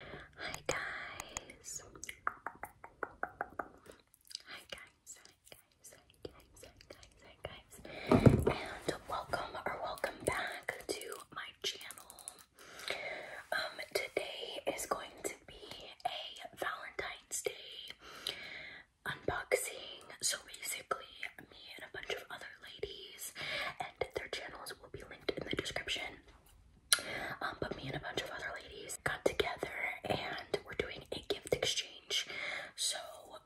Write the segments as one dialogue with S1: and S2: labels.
S1: Hi guys. Hi guys, hi guys, hi guys, hi guys, and welcome or welcome back to my channel. Um, today is going to be a Valentine's Day unboxing. So basically, me and a bunch of other ladies, and their channels will be linked in the description. Um, but me and a bunch of other ladies got together and we're doing a gift exchange. So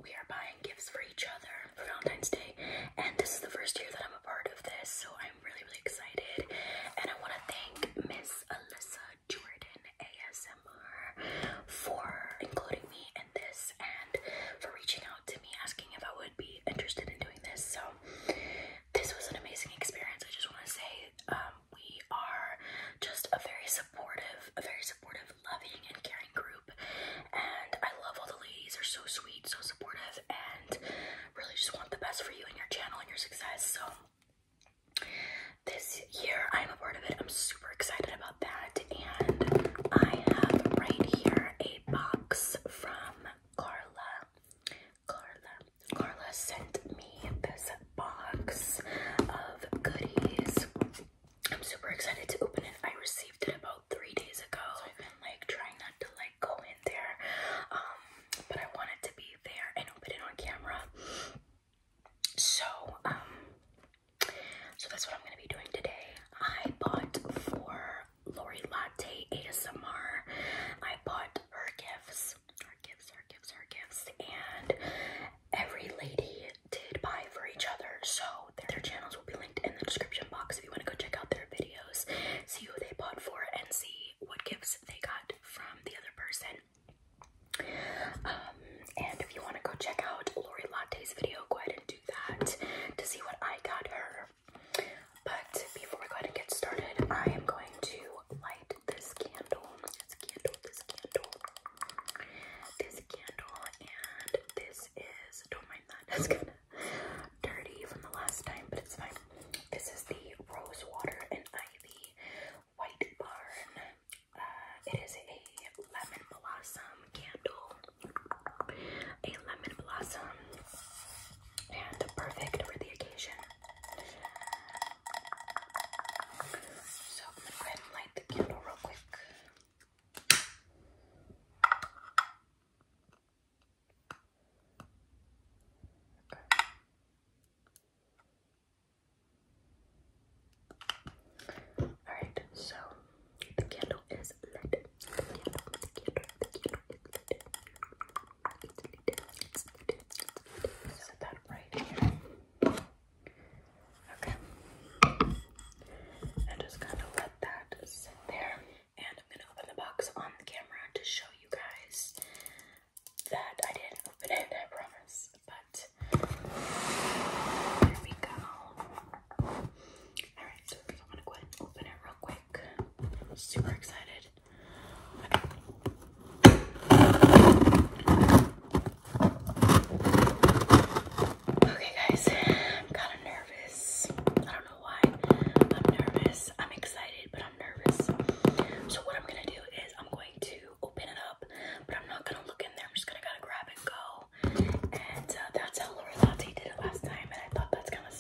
S1: we are buying gifts for each other for Valentine's Day. And this is the first year that I'm a part of this, so I'm really, really excited. And I want to thank Miss Alyssa Jordan ASMR for including me in this and for reaching out to me asking if I would be interested in doing this. So this was an amazing experience. I just want to say um, we are just a very supportive, a very supportive, loving, and caring group. And I love all the ladies. They're so sweet, so supportive, and really just want the best for you and your channel and your success. So this year I'm a part of it. I'm super excited about that. And I have right here a box from Carla. Carla. Carla sent me this box of goodies. I'm super excited to open it. I received it about three days ago. I've been like trying not to like go in there. Um, but I want it to be there and open it on camera. So, um, so that's what I'm gonna be doing today. I bought four Lori Latte ASMR. I bought her gifts, her gifts, her gifts, her gifts, and every lady did buy for each other. So their channels will be linked in the description box if you want to go check out their videos, see who they bought for, and see what gifts they got from the other person. Um, and if you want to go check out Lori Latte's video, go ahead and do that to see what I got her. But before we go ahead and get started, I am going to light this candle. This candle, this candle, this candle, and this is, don't mind that, it's kind of dirty from the last time, but it's fine. This is the Rose Water and Ivy White Barn. Uh, it is a lemon blossom candle. A lemon blossom and perfect for the occasion. So go ahead and light the candle real quick. Alright, so the candle is lit. Set that right here. Okay. And just kind of let that sit there. And I'm gonna open the box on camera to show you guys that I didn't open it, I promise. But there we go. Alright, so I'm gonna go ahead and open it real quick. I'm super excited. Okay, guys, I'm kind of nervous. I don't know why I'm nervous. I'm excited, but I'm nervous. So, what I'm gonna do is I'm going to open it up, but I'm not gonna look in there. I'm just gonna kind of grab and go. And uh, that's how Laura Latte did it last time, and I thought that's kind of I'm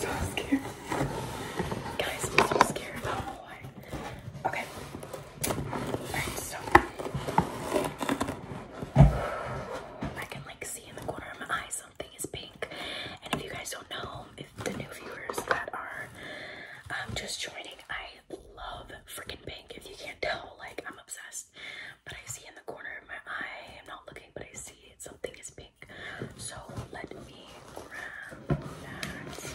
S1: so scared. Guys, I'm so scared. Okay. Alright, so I can like see in the corner of my eye something is pink. And if you guys don't know, if the new viewers that are um, just joining, I love freaking pink. If you can't tell, like I'm obsessed. But I see in the corner of my eye, I'm not looking, but I see Something is pink. So let me grab that.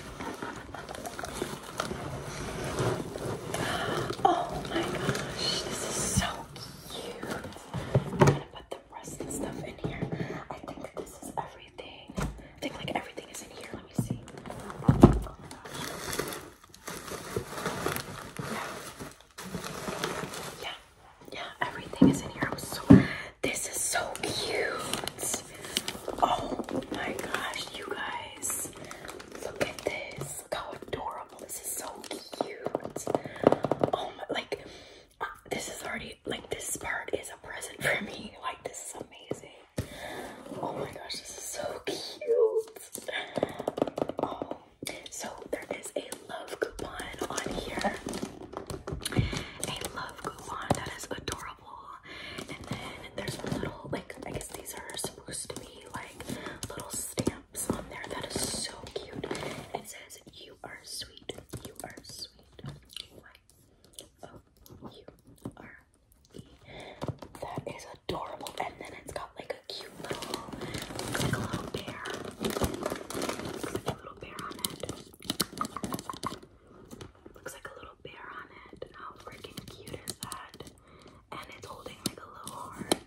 S1: Oh my gosh, this is so cute. I'm gonna put the rest and stuff in here. I think this is everything. I think like everything is in here. Let me see. Yeah. Oh yeah, yeah, everything is in here. this is so cute. Oh my gosh, you guys. Look at this. Look how adorable. This is so cute. Oh my like uh, this is already like this part is a present for me. Like this is amazing. Oh my gosh, this is so cute. Oh, so there is a love coupon on here. A love coupon that is adorable. And then there's little, like, I guess these are supposed to be like little stamps on there. That is so cute. It says, You are sweet. You are sweet. Y O U R E. That is adorable. And then it's got like a cute little bear little bear Looks like a little bear on it. How freaking cute is that? And it's holding like a little heart.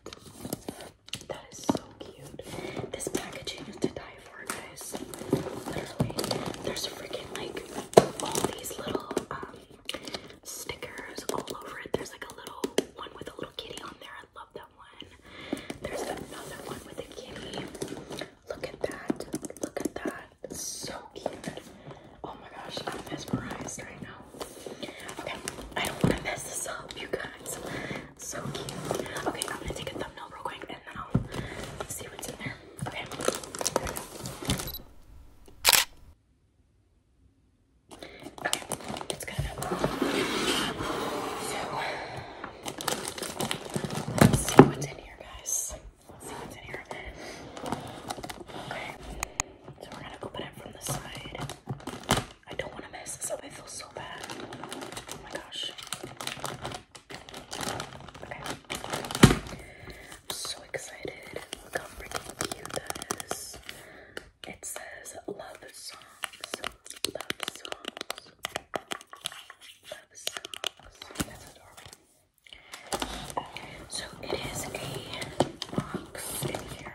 S1: That is so cute. This packaging is to die for, guys. Literally, there's freaking like all these little um, stickers all over it. There's like a little one with a little kitty on there. I love that there's another one with a kitty. Look at that. Look at that. So cute. Oh my gosh, I'm mesmerized right now. Okay, I don't want to mess this up, you guys. So cute. Okay, I'm gonna take a thumbnail real quick and then I'll see what's in there. Okay. Okay, that's good enough. So, Let's see what's in here, guys. Let's see what's in here. Okay. So we're gonna open it from the side. I don't want to mess this up. I feel so bad. Oh my gosh. Okay. I'm so excited. Look how freaking cute that is. It says love songs. Love songs love socks. So it is a box in here.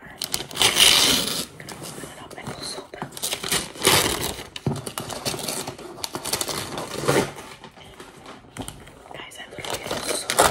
S1: Guys, I literally get it so much.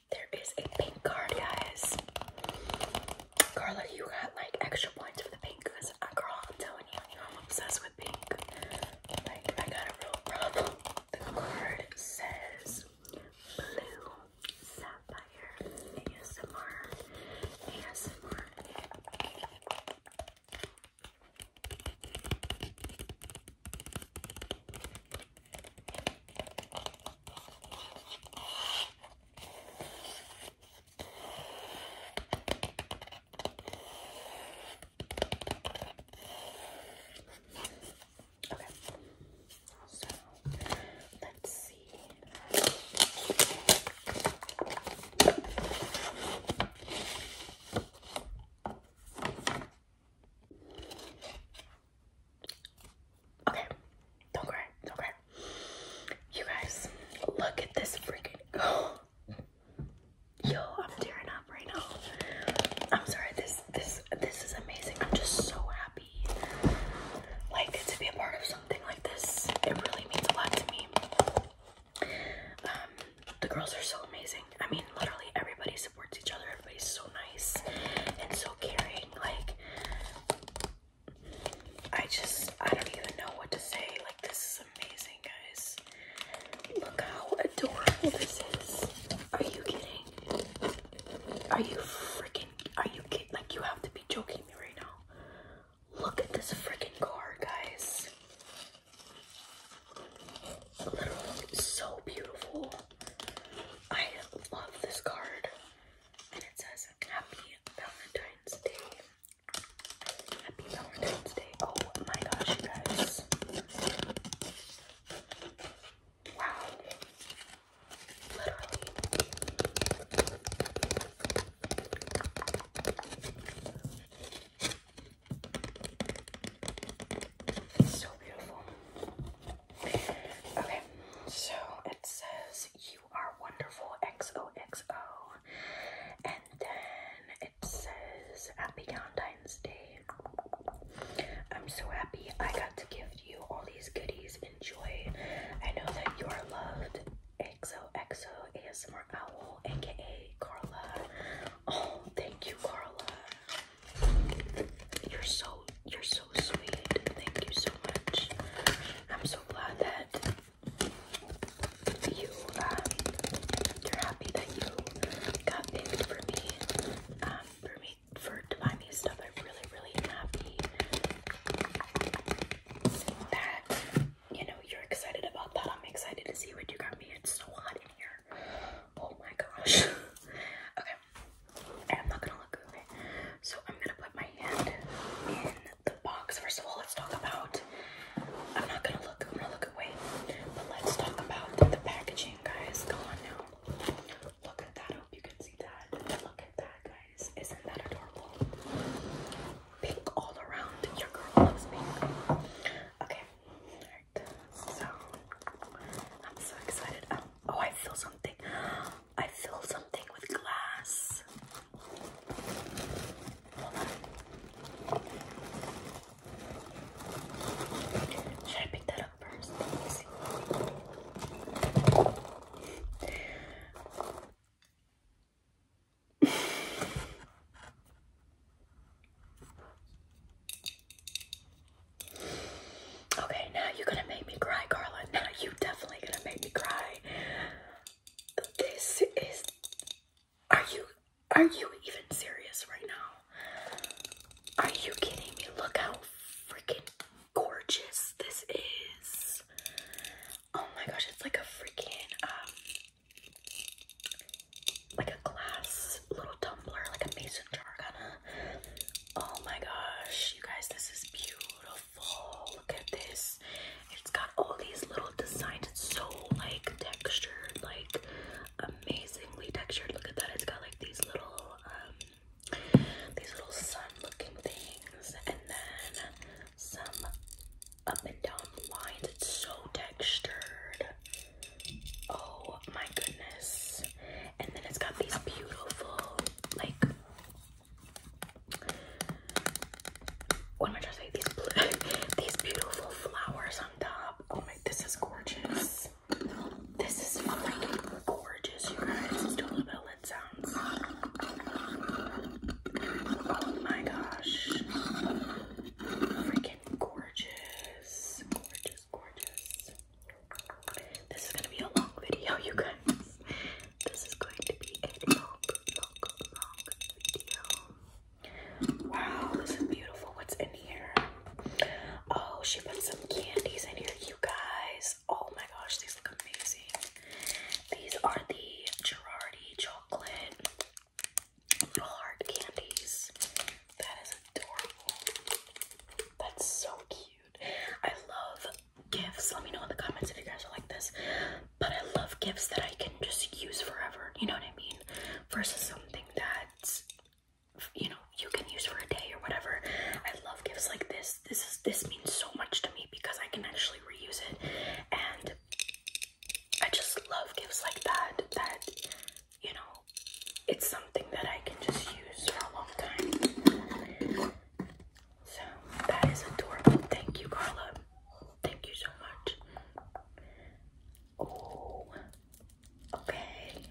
S1: There is a pink card, guys. Carla, you got like extra points for the pink because, uh, girl, I'm telling you, I'm obsessed with pink. Like, I got a real problem. The card says blue sapphire ASMR. ASMR. Okay. So let's see. Okay. Okay, don't cry, don't cry. You guys, look at this freaking. Oh. Yo, I'm tearing up right now. I'm sorry. This, this, this is amazing. I'm just so happy, like to be a part of something like this. It really means a lot to me. Um, the girls are so amazing. I mean, literally everybody's supports each other. Everybody's so nice and so caring. Like, I just, I don't even know what to say. Like, this is amazing, guys. Look how adorable this is. Are you kidding? Are you freaking, are you kidding? Like, you have to be joking me right now. Look at this freaking car, guys. Literally so beautiful. I love this card. And it says Happy Valentine's Day. Happy Valentine's Day. Oh my gosh, you guys. Wow. Literally. So beautiful. Okay, so it says you are wonderful XOXO. And then it says Happy Valentine's Day. I'm so happy I got to give you all these goodies. Enjoy. I know that you are loved. XOXO ASMR Owl, aka Carla. Oh, thank you, Carla. You're so you're so sweet. Thank you so much. I'm so glad that you um, are happy that you got picked for me. Um, for me for to buy me stuff. I'm really, really happy that you know you're excited about that. I'm excited to see what you got me. It's so hot in here. Oh my gosh. okay. I'm not gonna look okay. So I'm gonna put my hand in the box. First of all, let's talk about I'm not gonna look, I'm gonna look away. But let's talk about the packaging, guys. Come on now. Look at that. hope you can see that. Look at that, guys. Isn't that adorable? Pink all around. Your girl loves pink. Okay. So I'm so excited. Um, oh, I feel something. I feel something with glass. Hold on. Should I pick that up first? Let me see. Okay, now you're gonna make me cry, Carla. Now you are definitely gonna make me cry. This is are you are you even serious right now? Are you kidding me? Look how freaking gorgeous this is. Oh my gosh, it's like a freaking um, like a glass little tumbler, like a mason jar kind of. Oh my gosh, you guys, this is beautiful. Look at this. It's got all these little designs. It's so like textured, like amazingly textured. Look at that. It's got like these little um these little sun-looking things and then some up and down lines. It's so textured. Oh my goodness. And then it's got these beautiful, like, what am I trying to say? These, blue, these beautiful flowers on top. Oh my, this is gorgeous. This is freaking gorgeous, you guys. Let's do sounds. Oh my gosh. Freaking gorgeous. Gorgeous, gorgeous, This is gonna be a long video, you guys. This is going to be a long, long, long video. Wow, this is beautiful. What's in here? Oh, she put some candies in here, you guys. Oh my gosh, these look amazing. These are the Girardi chocolate hard candies. That is adorable. That's so cute. I love gifts. Let me know in the comments if you guys are like this. But I love gifts that I can just use forever. You know what I mean? Versus something that's you know you can use for a day or whatever. I love gifts like this. This is this means so much to me because I can actually reuse it and I just love gifts like that that you know, it's something that I can just use for a long time. So that is adorable. Thank you, Carla. Thank you so much. Oh, okay.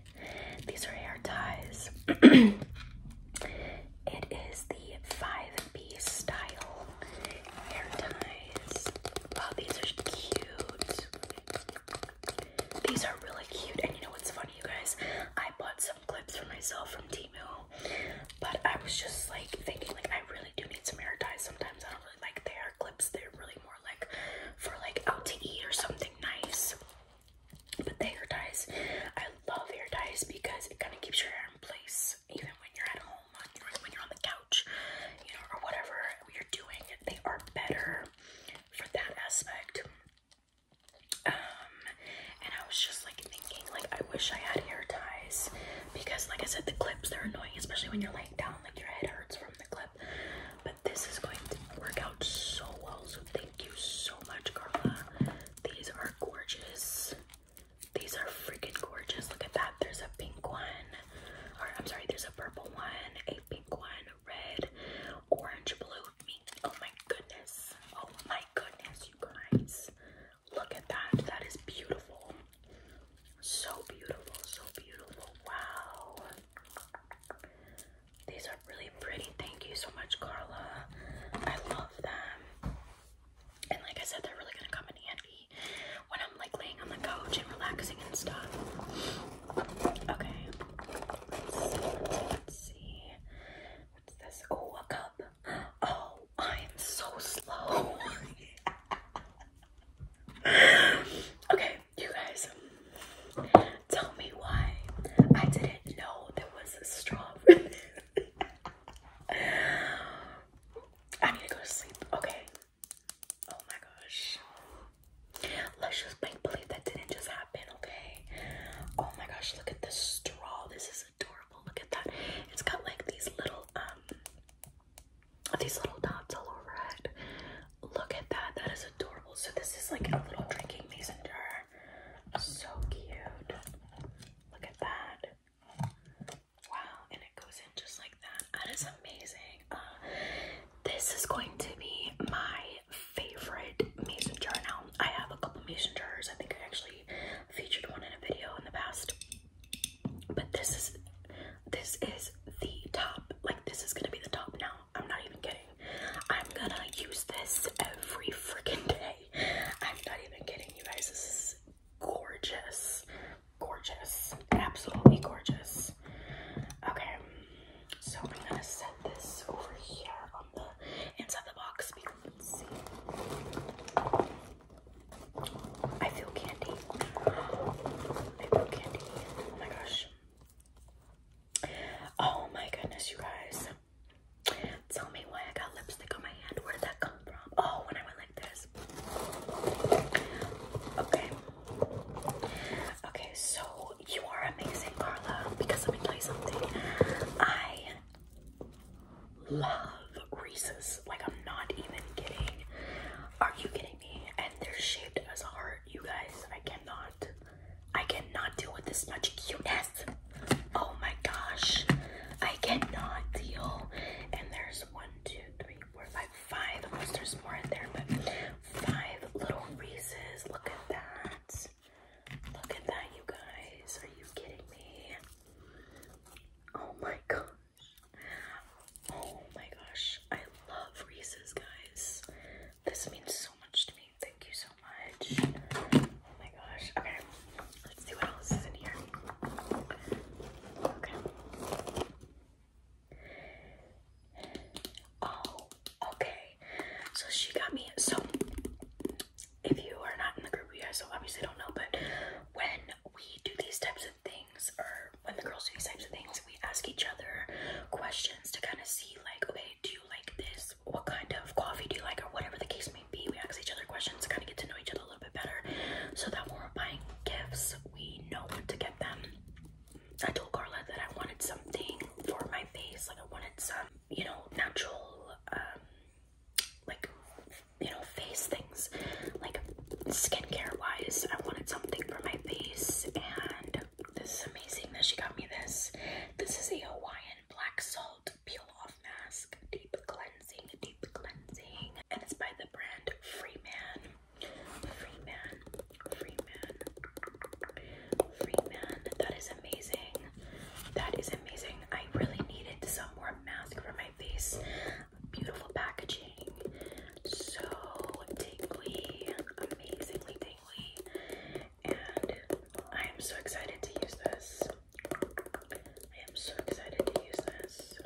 S1: These are hair ties. it is the five piece style hair ties. Wow, these are cute. These are really cute, and you know what's funny, you guys? I bought some clips for myself from Timu, but I was just like thinking, like I really do need some hair ties. Sometimes I don't really like their clips; they're really more like for like out to eat or something nice. But the hair ties, I love hair ties because it kind of keeps your hair in place, even when you're at home, when you're on the couch, you know, or whatever you're doing. They are better for that aspect. Um, and I was just like thinking, like, I wish I had hair ties because, like I said, the clips they're annoying, especially when you're laying down, like your head hurts from the clip. But this is going to work out so well, so thank you so much, Carla. These are gorgeous. These are freaking gorgeous. Look at that. There's a pink one, or I'm sorry, there's a purple one, pink one, red, orange, blue, pink. Oh my goodness. Oh my goodness, you guys. Look at that. That is beautiful. So beautiful, so beautiful. Wow. These are really pretty. Thank you so much, Carla. I love them. And like I said, they're really gonna come in handy when like laying on the couch and relaxing and stuff. Okay. Let's see. What's this? Oh, a cup. Oh, I am so slow. okay, you guys, tell me why I didn't know there was a straw. I need to go to sleep. Okay, Oh my gosh. Let's just make believe that didn't just happen, okay? Oh my gosh, look at this straw. This is adorable. Look at that. It's got like these little um these little dots all over it. Look at that. That is adorable. So this is like a little drinking mason jar. So cute. Look at that. Wow, and it goes in just that is amazing. Uh, this is going to be my favorite mason jar now. I have a couple mason jars. I think I actually featured one in a video in the past. But this is this is the top. Like this is gonna be the top now. I'm not even kidding. I'm gonna use this every freaking day. I'm not even kidding you guys. This is gorgeous gorgeous, absolutely gorgeous. Okay, so I'm gonna set this over here on the inside the box because let see. I feel candy. I feel candy. Oh my gosh. Oh my goodness, you guys. Tell me why I got lipstick on my hand. Where did that come from? Oh, when I went like this. Okay, Okay, so you are amazing, Carla, because let me tell you something. I love Reese's. Like, I'm not even kidding. Are you kidding me? And they're shaped as a heart, you guys. I cannot. I cannot deal with this much cuteness. Oh my gosh. I cannot deal. And there's one, two, three, four, five, five, unless there's more in there, but five little Reese's. Look at that. Look at that, you guys. Are you kidding me? Oh my gosh. Oh my gosh. I love Reese's, guys. This means so much to me. Thank you so much. Oh my gosh. Okay, let's see what else is in here. Okay. Oh, okay. So she got me. So if you are not in the group, you guys so obviously don't know, but when we do these types of things, or when the girls do these types of things, we ask each other questions to kind of see, like, okay, do you like this? What kind of coffee do you like? Or whatever the case may be. We ask each other questions to kind of get to know each other a little bit better so that when we're buying gifts, we know what to get them. I told Carla that I wanted something for my face, like I wanted some, you know, natural, um, like, you know, face things, like skincare wise. I wanted something for my face, and this is amazing that she got me this. This is a Hawaiian black salt peel off mask, deep cleansing, deep cleansing, and it's by the brand Freeman. Free man, free man, free man. That is amazing. That is amazing. I really needed some more mask for my face. Beautiful packaging. So tingly, amazingly tingly. And I am so excited to use this. I am so excited to use this.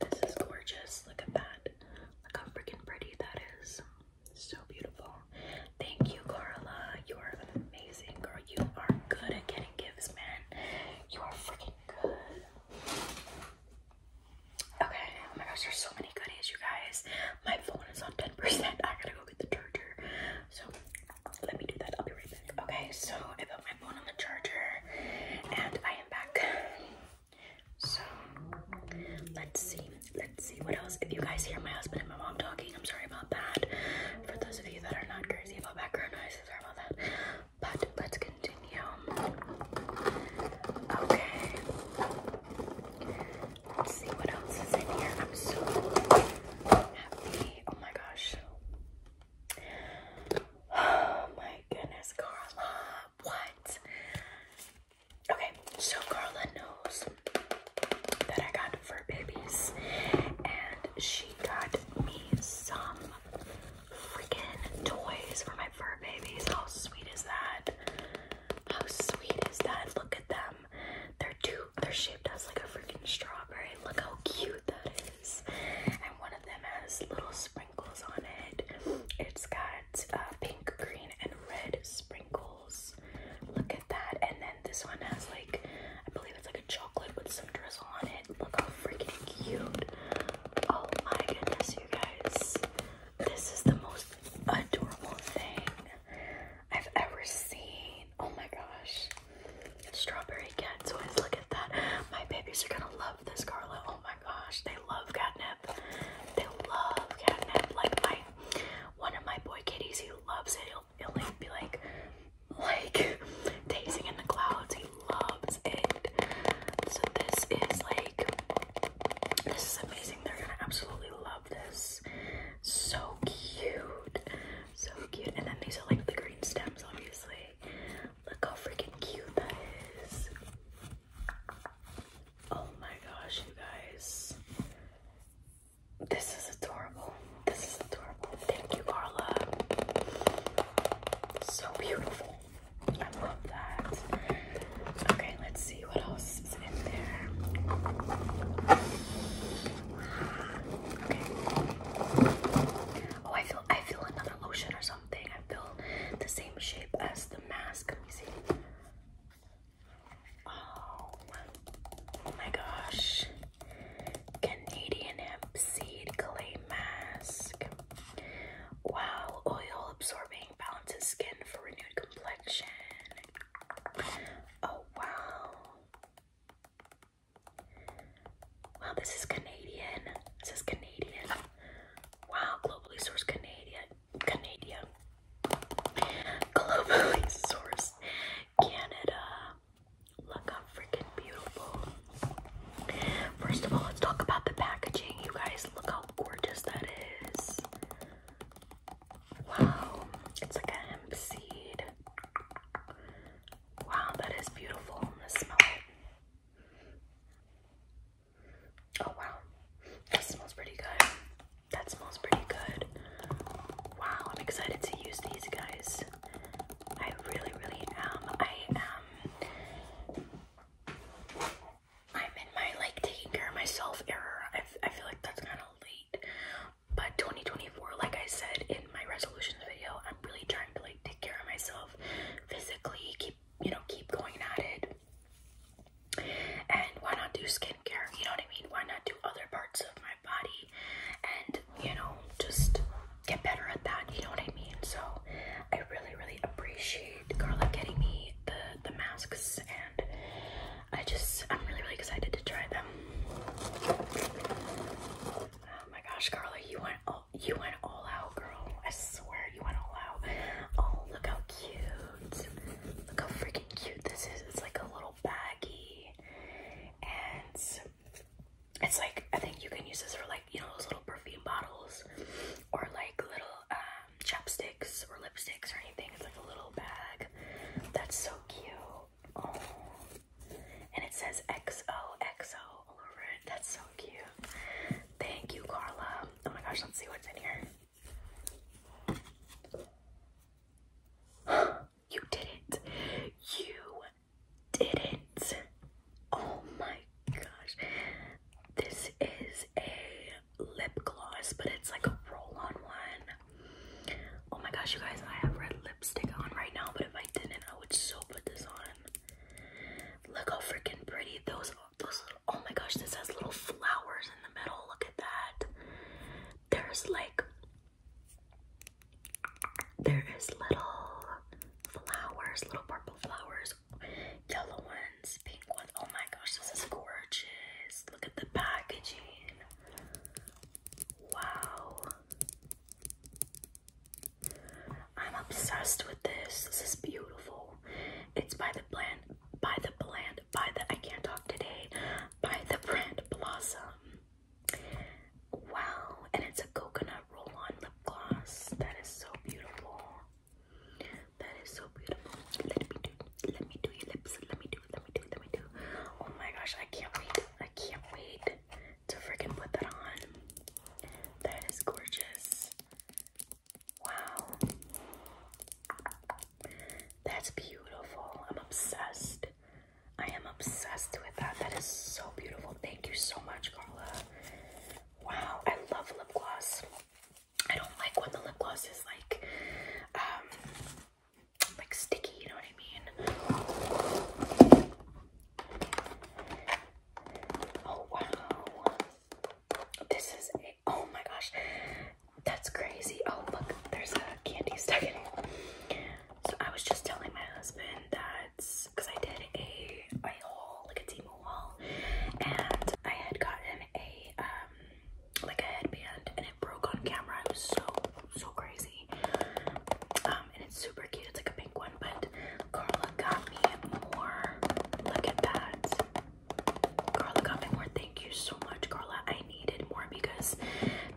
S1: This is gorgeous. Look at that. Look how freaking pretty that is. So beautiful. Thank you, Carla. You are amazing, girl. You are good at getting gifts, man. You are freaking good. Okay. Oh my gosh, there's so many goodies, you guys. My phone is on 10%. I gotta go get the charger. So let me do that. I'll be right back. Okay, so I put my phone on the charger and I am back. So let's see, let's see what else. If you guys hear my husband and my mom talking, I'm sorry about that. For those of you that are not crazy about background noise, sorry about that. But let's continue. Okay. Let's see what else is in here. I'm so happy. Oh my gosh. Oh my goodness, Carla. Why Okay, so Carla knows that I got fur babies, and she got me some freaking toys for my fur babies. How sweet is that? How sweet is that? Look at them. They're two. They're shaped as like a freaking strawberry. Look how cute that is. And one of them has little sprinkles on it. It's got uh, pink, green, and red sprinkles. Look at that. And then this one has like, I believe it's like a chocolate with some drizzle on it. Look how freaking cute. Oh my goodness, you guys. This is the most adorable thing I've ever seen. Oh my gosh. Strawberry kids. toys. Look at that. My babies are gonna love this, Carla. Oh my gosh, they love catnip. They love catnip. Like my one of my boy kitties, he loves it. He'll, he'll be like, like dazing in the clouds. He loves it. So this is like, this is amazing. They're gonna absolutely love this. So cute, so cute. And then these are like the green stems, obviously. Look how freaking cute that is. Oh my gosh, you guys. This is adorable. This is adorable. Thank you, Carla. So beautiful. I love that. Okay, let's see what else is in there. Okay. Oh, I feel I feel another lotion or something something. I feel the same shape as the mask. Oh, my gosh. Canadian hemp seed clay mask. Wow, oil absorbing balances skin for renewed complexion. Oh wow. Wow, this is Canadian. This is Canadian. Wow, globally sourced Canadian, Canadian, globally sourced Canada. Look how freaking beautiful. First of all, let's talk about the packaging. You guys, look how gorgeous that is. Wow, it's like a hemp seed. Wow, that is beautiful. Let's smell Oh wow, that smells pretty good. That smells pretty good. Wow, I'm excited to use these guys. I really, really am. I am. I'm in my like taking care of myself error. I, I feel like that's kind of late. But 2024, like I said in my resolutions video, I'm really trying to like take care of myself physically, keep, you know, keep going at it and why not do skincare? You know what I mean? Why not do other parts of my body and, you know, just get better at that? You know what I mean? So I really, really appreciate Carla getting me the, the masks and I just, I'm really, really excited to try them. Oh my gosh, Carla, you went all you went all out, girl. I swear you went all out. Oh, look how cute. Look how freaking cute this is. It's like a little baggy, And it's like I think you can use this for like, you know, those little perfume bottles or like little um chapsticks or lipsticks or anything. It's like a little bag. That's so cute. Oh, and it says XOXO all over it. That's so cute. Thank you, Carla. Oh my gosh, let's see what's in here. you did it. You did it. Oh my gosh. This is a lip gloss, but it's like a roll on one. Oh my gosh, you guys, I have red lipstick on right now, but if I didn't, I would so put this on. Look how freaking pretty those oh my gosh, this has little flowers in the middle. Look at that. There's like, there is little flowers, little purple flowers, yellow ones, pink ones. Oh my gosh, this is gorgeous. Look at the packaging. Wow. I'm obsessed with this. This is beautiful. It's by the brand, by the brand, by the, I can't talk today, by the brand Blossom. Wow, and it's a coconut roll-on lip gloss. That is so beautiful. That is so beautiful. Let me do, let me do your lips. Let me do, let me do, let me do. Oh my gosh, I can't wait. I can't wait to freaking put that on. That is gorgeous. Wow. That's beautiful. I'm obsessed. I am obsessed with that. That is so beautiful. Thank you so much, Carla. Wow, I love lip gloss. I don't like when the lip gloss is like um like sticky, you know what I mean? Oh wow. This is oh my gosh, that's crazy. Oh, look, there's a candy stuck in it. So I was just telling my husband that, because I did a, a haul, like a Temu haul, and I had gotten a, um, like a headband, and it broke on camera. It was so, so crazy. Um, and it's super cute. It's like a pink one, but Carla got me more. Look at that. Carla got me more. Thank you so much, Carla. I needed more because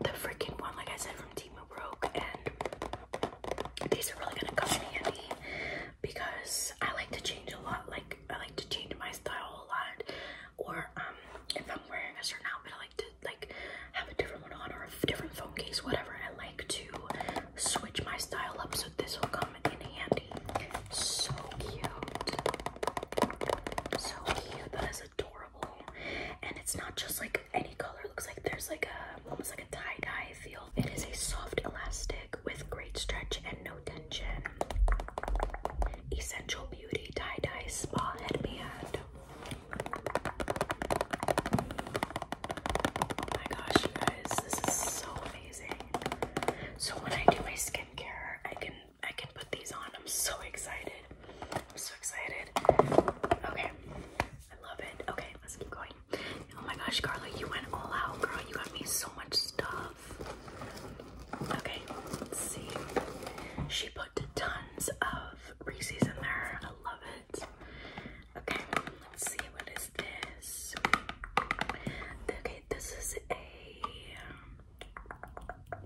S1: the freaking one, like I said, from Timu broke, and these are really gonna come in handy because I like to change a lot. Like I like to change my style a lot, or um, if I'm wearing a certain outfit, I like to like have a different one on or a different phone case, whatever. I like to switch my style up so this will come in handy. So cute. So cute. That is adorable. And it's not just like any color. looks like there's like a almost like a tie-dye feel. It is a soft elastic with great stretch and no tension. Essential Beauty tie-dye spa headband. Oh my gosh, you guys, this is so so when I do my skincare, I can I can put these on. I'm so excited. I'm so excited. Okay. I love it. Okay, let's keep going. Oh my gosh, Carla, you went all out, girl. You got me so much stuff. Okay, let's see. She put tons of Reese's in there. I love it. Okay, let's see what this? Okay, this is a, um,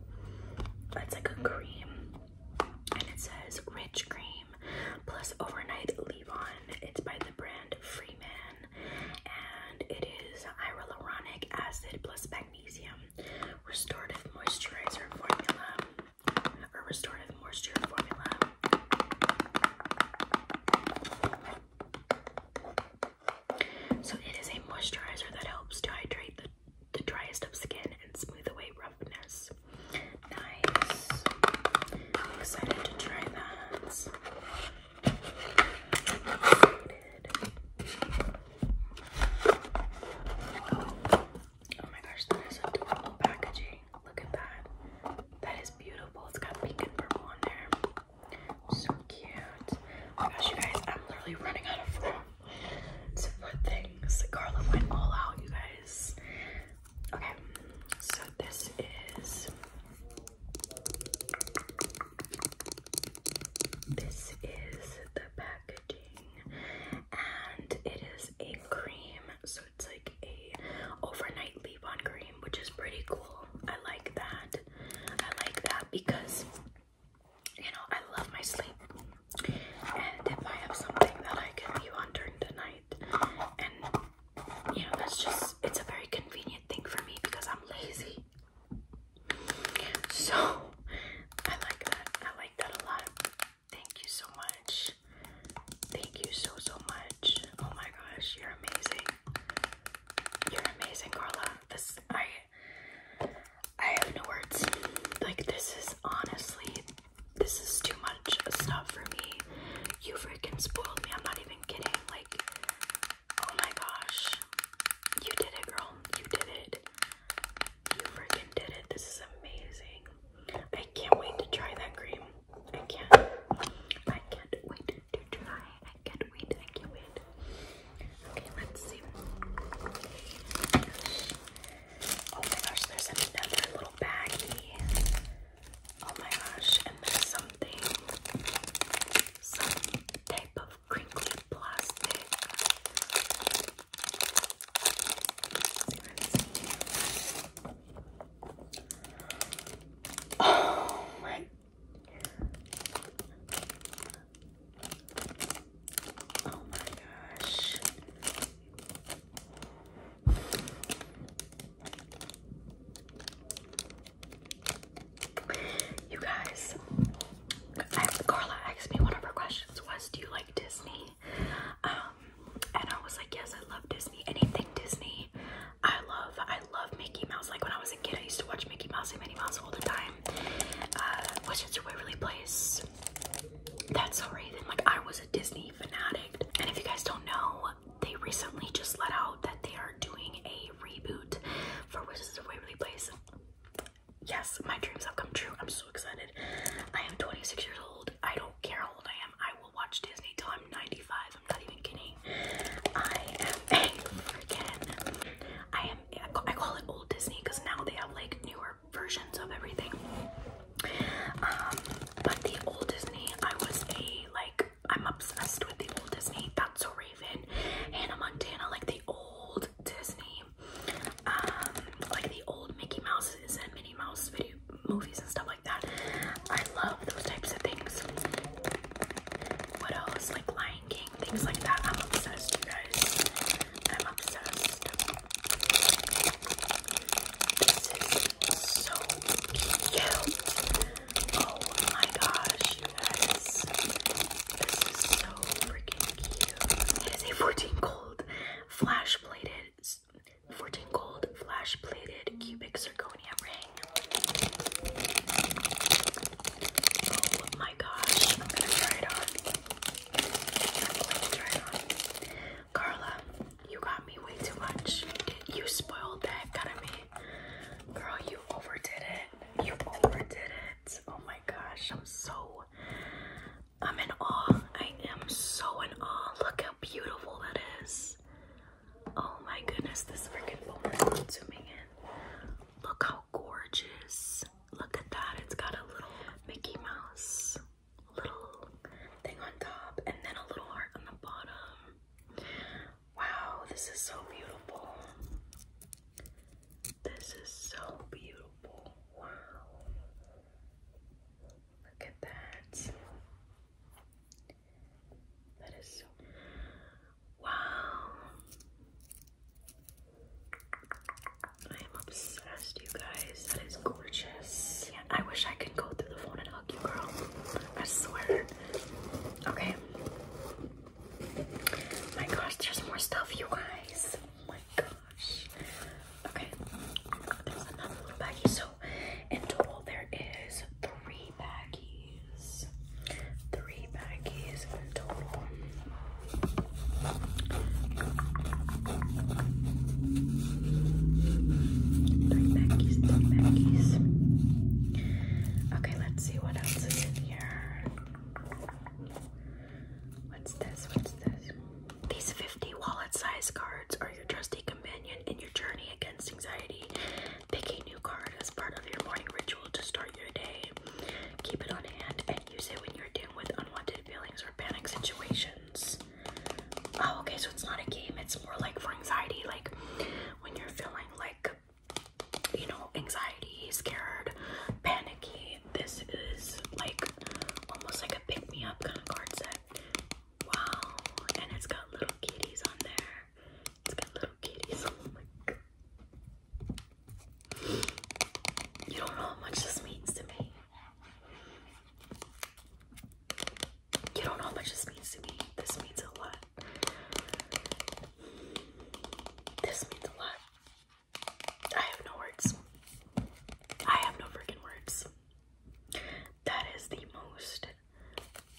S1: it's like a cream and it says rich cream plus overnight leave-on. It's by the brand Freeman and it is hyaluronic acid plus magnesium restorative moisturizer formula or restorative moisture formula so it is a moisturizer that helps to hydrate the, the driest of skin and smooth away roughness. Nice. I'm excited to try that. Oh my gosh, that is adorable packaging. Look at that. That is beautiful. It's got pink and purple on there. So cute. Oh my gosh, you guys, I'm literally running out of room to put things. Carla went all out, you guys. Okay, so this is. This is the packaging, and it is a cream it's like a overnight leave-on cream, which is pretty cool. I like that. I like that because you know I love my sleep, and if I have something that I can leave on during the night, and you know that's just it's a very convenient thing for me because I'm lazy. So I like that. I like that a lot. Thank you so much. Thank you so, so much. Oh my gosh, you're amazing. You're amazing, Carla. This, I, I have no words. Like, this is honestly, this is too much stuff for me. You freaking spoiled me. I'm not even kidding. Like, oh my gosh. You did it, girl. You did it. You freaking did it. This is amazing. I can't wait to try that cream. I can't. I can't wait to try. I can't wait. I can't wait. Okay, let's see. Oh my gosh, there's another little baggie. Oh my gosh, and there's something, some type of crinkly plastic. Let's see what Oh my. Oh my gosh. You guys, Carla asked me one of her questions was, "Do you like Disney?" Um, and I was like, yes, I love Disney. Anything Disney, I love. I love Mickey Mouse. Like when I was a kid, I used to watch Mickey Mouse and Minnie Mouse all the time. Uh, Wizards of Waverly Place. That's so Raven. Like I was a Disney fanatic. And if you guys don't know, they recently just let out that they are doing a reboot for Wizards of Waverly Place. Yes, my dreams have come true. I'm so excited. I am 26 years old. I don't care how old I am. I will watch Disney till I'm 95. I'm not even kidding. I am a freaking. I am. I call it old Disney because now they have like newer versions of everything. Um, but the old Disney, I was a like. I'm obsessed with the old Disney. That's so Raven, Hannah Montana, like the old Disney, um, like the old Mickey Mouse's and Minnie Mouse video movies and stuff like that. I love those types of things. What else? Like Lion King, things like that. I'm obsessed, you guys. I'm obsessed. This is so cute. Oh my gosh, you guys. This is so freaking cute. It is a 14 gold flash plated 14 gold flash plated cubic zirconia ring. Oh my gosh, I'm gonna try it on. I'm going to try it on. Carla, you got me way too much. You spoiled the out of me. Girl, you overdid it. You overdid it. Oh my gosh, I'm so. I'm in awe. I am so in awe. Look how beautiful that is. Oh my goodness, this freaking boner is zooming in. Look how gorgeous. Look at that. It's got a little Mickey Mouse little thing on top and then a little heart on the bottom. Wow, this is so beautiful. This is so beautiful. Wow. Look at that. That is so. Wow. I am obsessed, you guys. That is gorgeous. Yeah, I wish I could go through the phone and hug you, girl. I swear. Okay. My gosh, there's more stuff, you guys. Oh my gosh. Okay. There's another little baggie. So so in total there is three baggies. Three baggies Okay, let's see what else is in here. What's this? What's this? These 50 wallet size cards are your trusty in your journey against anxiety. Pick a new card as part of your morning ritual to start your day. Keep it on hand and use it when you're dealing with unwanted feelings or panic situations. Oh, okay, so it's not a game, it's more like for anxiety, like when you're feeling like you know, anxiety, scared, panicky. This is like almost like a pick me up kind of card set. Wow, and it's got little kitties on there. It's got little kitties. Oh my god. You don't know how much this means to me. You don't know how much this means to me. This means a lot. This means a lot. I have no words. I have no freaking words. That is the most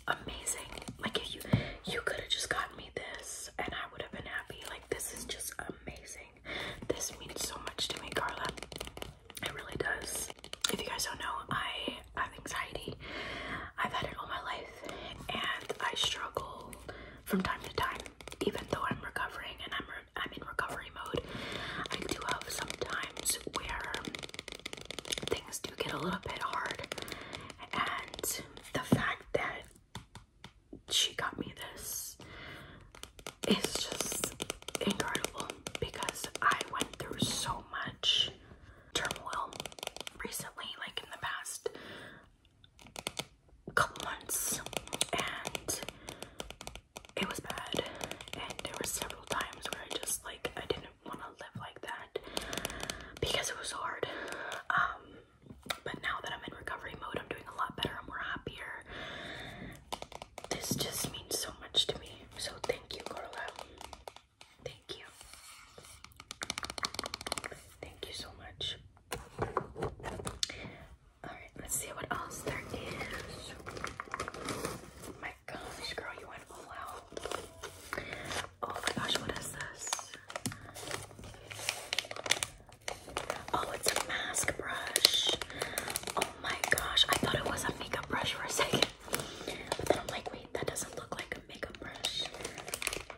S1: amazing. Like if you you could have just gotten me this and I would have been happy. Like this is just amazing. This means so much to me, Carla. It really does. If you guys don't know, I have anxiety. I've had it all my life and I struggle from time to time. Even though I'm recovering and I'm I'm in recovery mode, I do have sometimes where things do get a little bit hard. And the fact that she got me this is just incredible because I went through so much turmoil recently, like in the past couple months, and it was bad, and there were several times where I just like I didn't want to live like that because it was hard. Um, but now that I'm in recovery mode, I'm doing a lot better. I'm more happier. This just means so much to me. So thank you, Carla. Thank you. Thank you so much. Alright, let's see what else there is. My girl, you went all out. Oh my gosh, what is this? Oh, it's a mask brush. Oh my gosh, I thought it was a makeup brush for a second. But then I'm like, wait, that doesn't look like a makeup brush.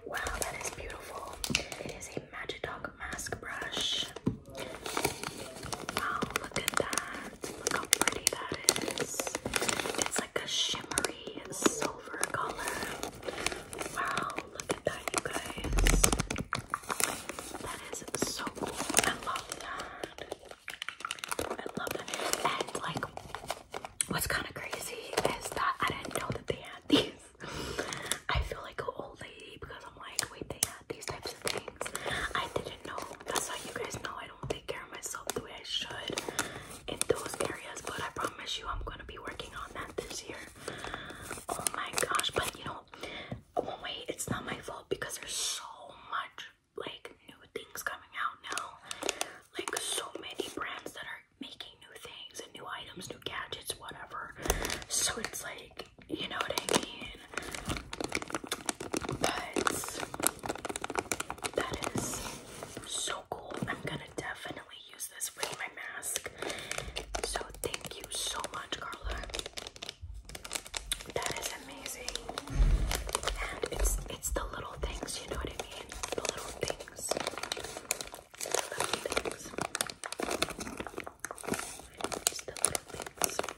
S1: Wow, that is beautiful. It is a Magic Dog mask brush. Wow, oh, look at that. Look how pretty that is. It's like a shimmery silver color. Wow, look at that, you guys. That is so cool. I love that. I love that. And like, what's kind of crazy is that I didn't know that they had these. I feel like an old lady because I'm like, wait, they had these types of things. I didn't know. That's how you guys know I don't. I take care of myself the way I should in those areas, but I promise you, I'm gonna be working on that this year. Oh my gosh, but you know, one oh it's not my fault because there's so much like new things coming out now, like so many brands that are making new things new items, new gadgets, whatever. So it's like, you know what I mean? that is so cool. I'm gonna definitely use this with my mask. So thank you so much, Carla. That is amazing. And it's it's the little things, you know what I mean? The little things. The little things. the little things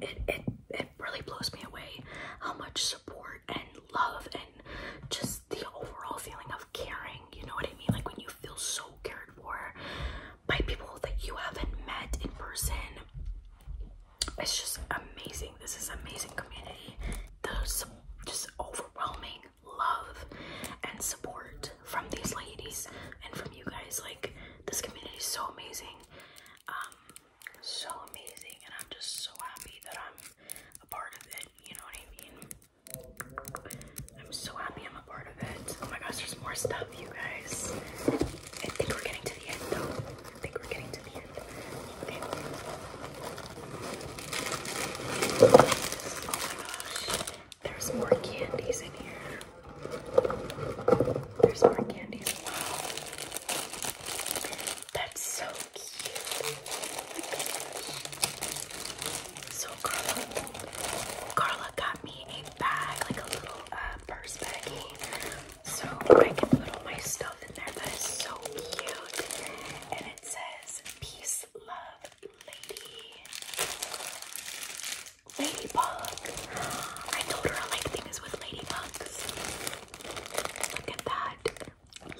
S1: it, it, it really blows me away how much support and love and just the overall feeling of caring, you know what I mean? Like when you feel so cared for by people that you haven't met in person. It's just amazing. This is amazing community. The just overwhelming love and support from these ladies and from you guys. Like this community is so amazing. Um, so amazing and I'm just so happy that I'm a part of it. You know what I mean? I'm so happy I'm a part of it. Oh my gosh, there's more stuff, you guys. I think we're getting to the end though. I think we're getting to the end. Oh my gosh. There's more candies in here. There's more candies. Wow. That's so cute. So Carla Carla got me a bag, like a little uh, purse baggie. So I can put all my stuff in there. That is so cute. And it says peace, love, lady. Ladybug. I told her I like things with ladybugs. Look at that.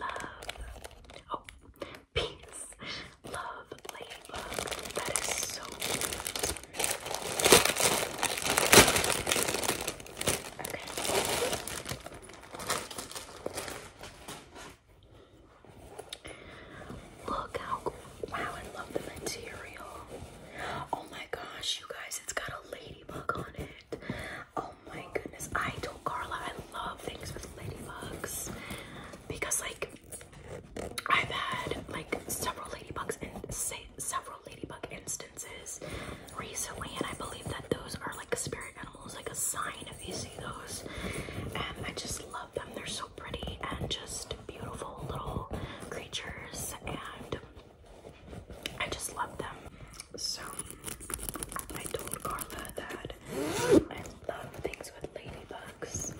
S1: Love. Oh, peace. Love ladybug. That is so Okay. Look how Wow, I love the material. Oh my gosh, you guys, it's got a ladybug on it. Oh my goodness. I told Carla I love things with ladybugs because, like, I've had like several ladybugs and several ladybug instances recently, and I believe that those are like a spirit animals almost like a sign if you see those. And I just love them. They're so pretty and just beautiful little creatures. And I just love them. So I told Carla that I love things with ladybugs.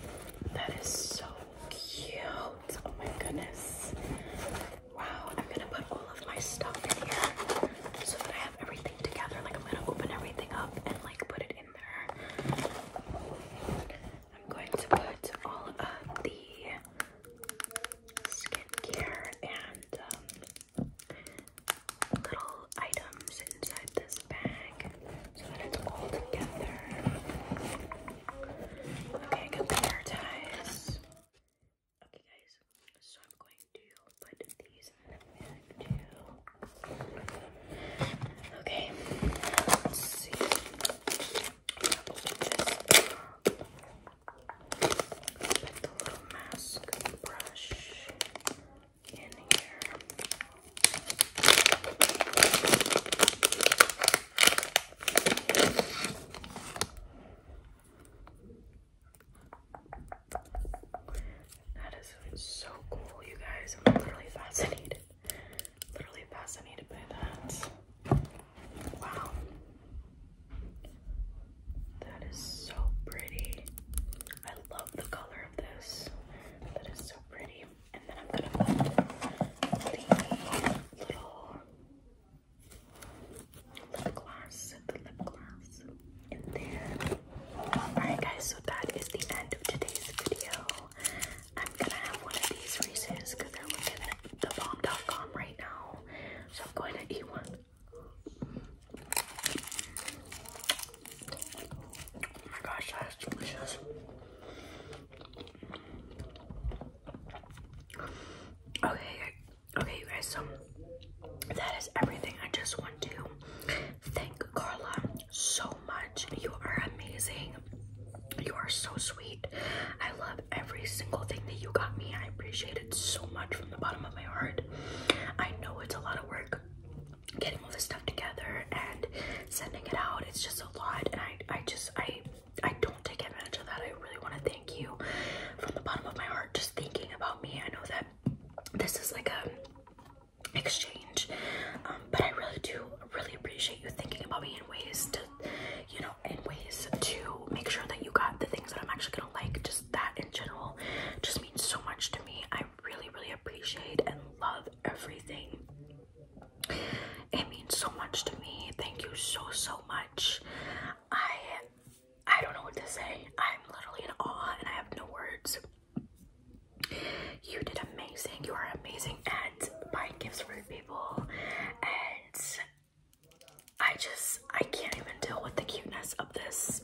S1: That is so cute. Oh my goodness. Wow, I'm gonna put all of my stuff in here so that I everything together. Like I'm gonna open everything up and like put it in there. I'm going to put all of the skincare and um, little items inside this bag so that it's all together. Okay, I got ties. Okay guys, so I'm going to put these in a bag too. Okay, let's see. Put the little mask brush in here. That is so cool, you guys. I'm literally fascinated. Literally fascinated by that. Wow. That is so pretty. I love the color of this. That is so pretty. And then I'm gonna put the little lip gloss, the lip gloss in there. Alright, guys, so that is the end of today's video. I'm gonna have one of these Reese's because they're looking at the right now. So I'm going to eat one. Oh my gosh, that is delicious. Okay, okay, you guys, so that is everything. I just want to thank Carla so much. You are amazing. You are so sweet. I love every single thing that you got me. I appreciate it so much from the bottom of my heart. I know it's a lot of work getting all this stuff together and sending it out. It's just a lot and I I just I I don't take advantage of that. I really want to thank you from the bottom of my heart just thinking about me. I know that this is like a exchange. Um, but I really do really appreciate you thinking about me in ways to, you know, in ways to make sure that you got the things that I'm actually gonna like. Just that in general just means so much to me. I really, really appreciate and love everything. It means so much to me. Thank you so so much. I I don't know what to say. I'm literally in awe and I have no words. You did amazing. You are amazing and buying gifts for people. And I just, I can't even deal with the cuteness of this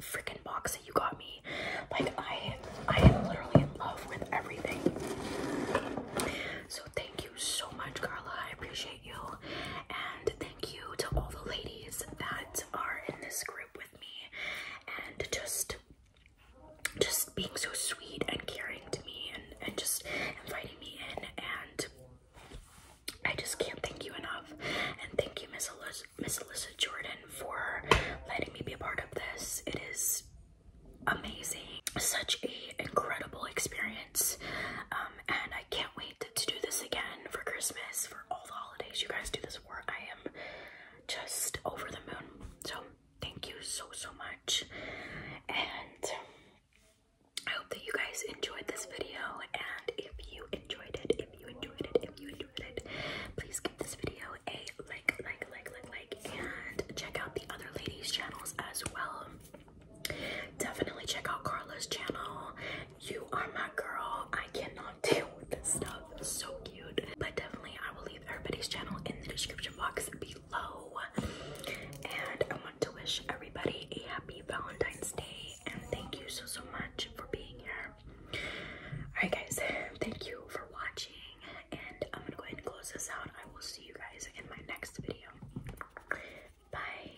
S1: freaking box that you got me. Like, I, I am literally in love with everything. So thank you so much, Carla. I appreciate you. And thank you to all the ladies that are in this group with me and just just being so sweet and caring to me and, and just inviting me in and I just can't thank you enough and thank you Miss Alyssa, Jordan for letting me be a part of this. It is amazing. Such a incredible experience um, and I can't wait to do this again for Christmas for all the holidays you guys do this work. I just over the moon. So thank you so so much. And I hope that you guys enjoyed this video. And if you enjoyed it, if you enjoyed it, if you enjoyed it, please give this video a like, like, like, like, like, and check out the other ladies' channels as well. Definitely check out Carla's channel you are my girl. I cannot deal with this stuff. So cute. But definitely, I will leave everybody's channel in the description box below. And I want to wish everybody a happy Valentine's Day. And thank you so, so much for being here. Alright, guys, thank you for watching. And I'm gonna go ahead and close this out. I will see you guys in my next video. Bye.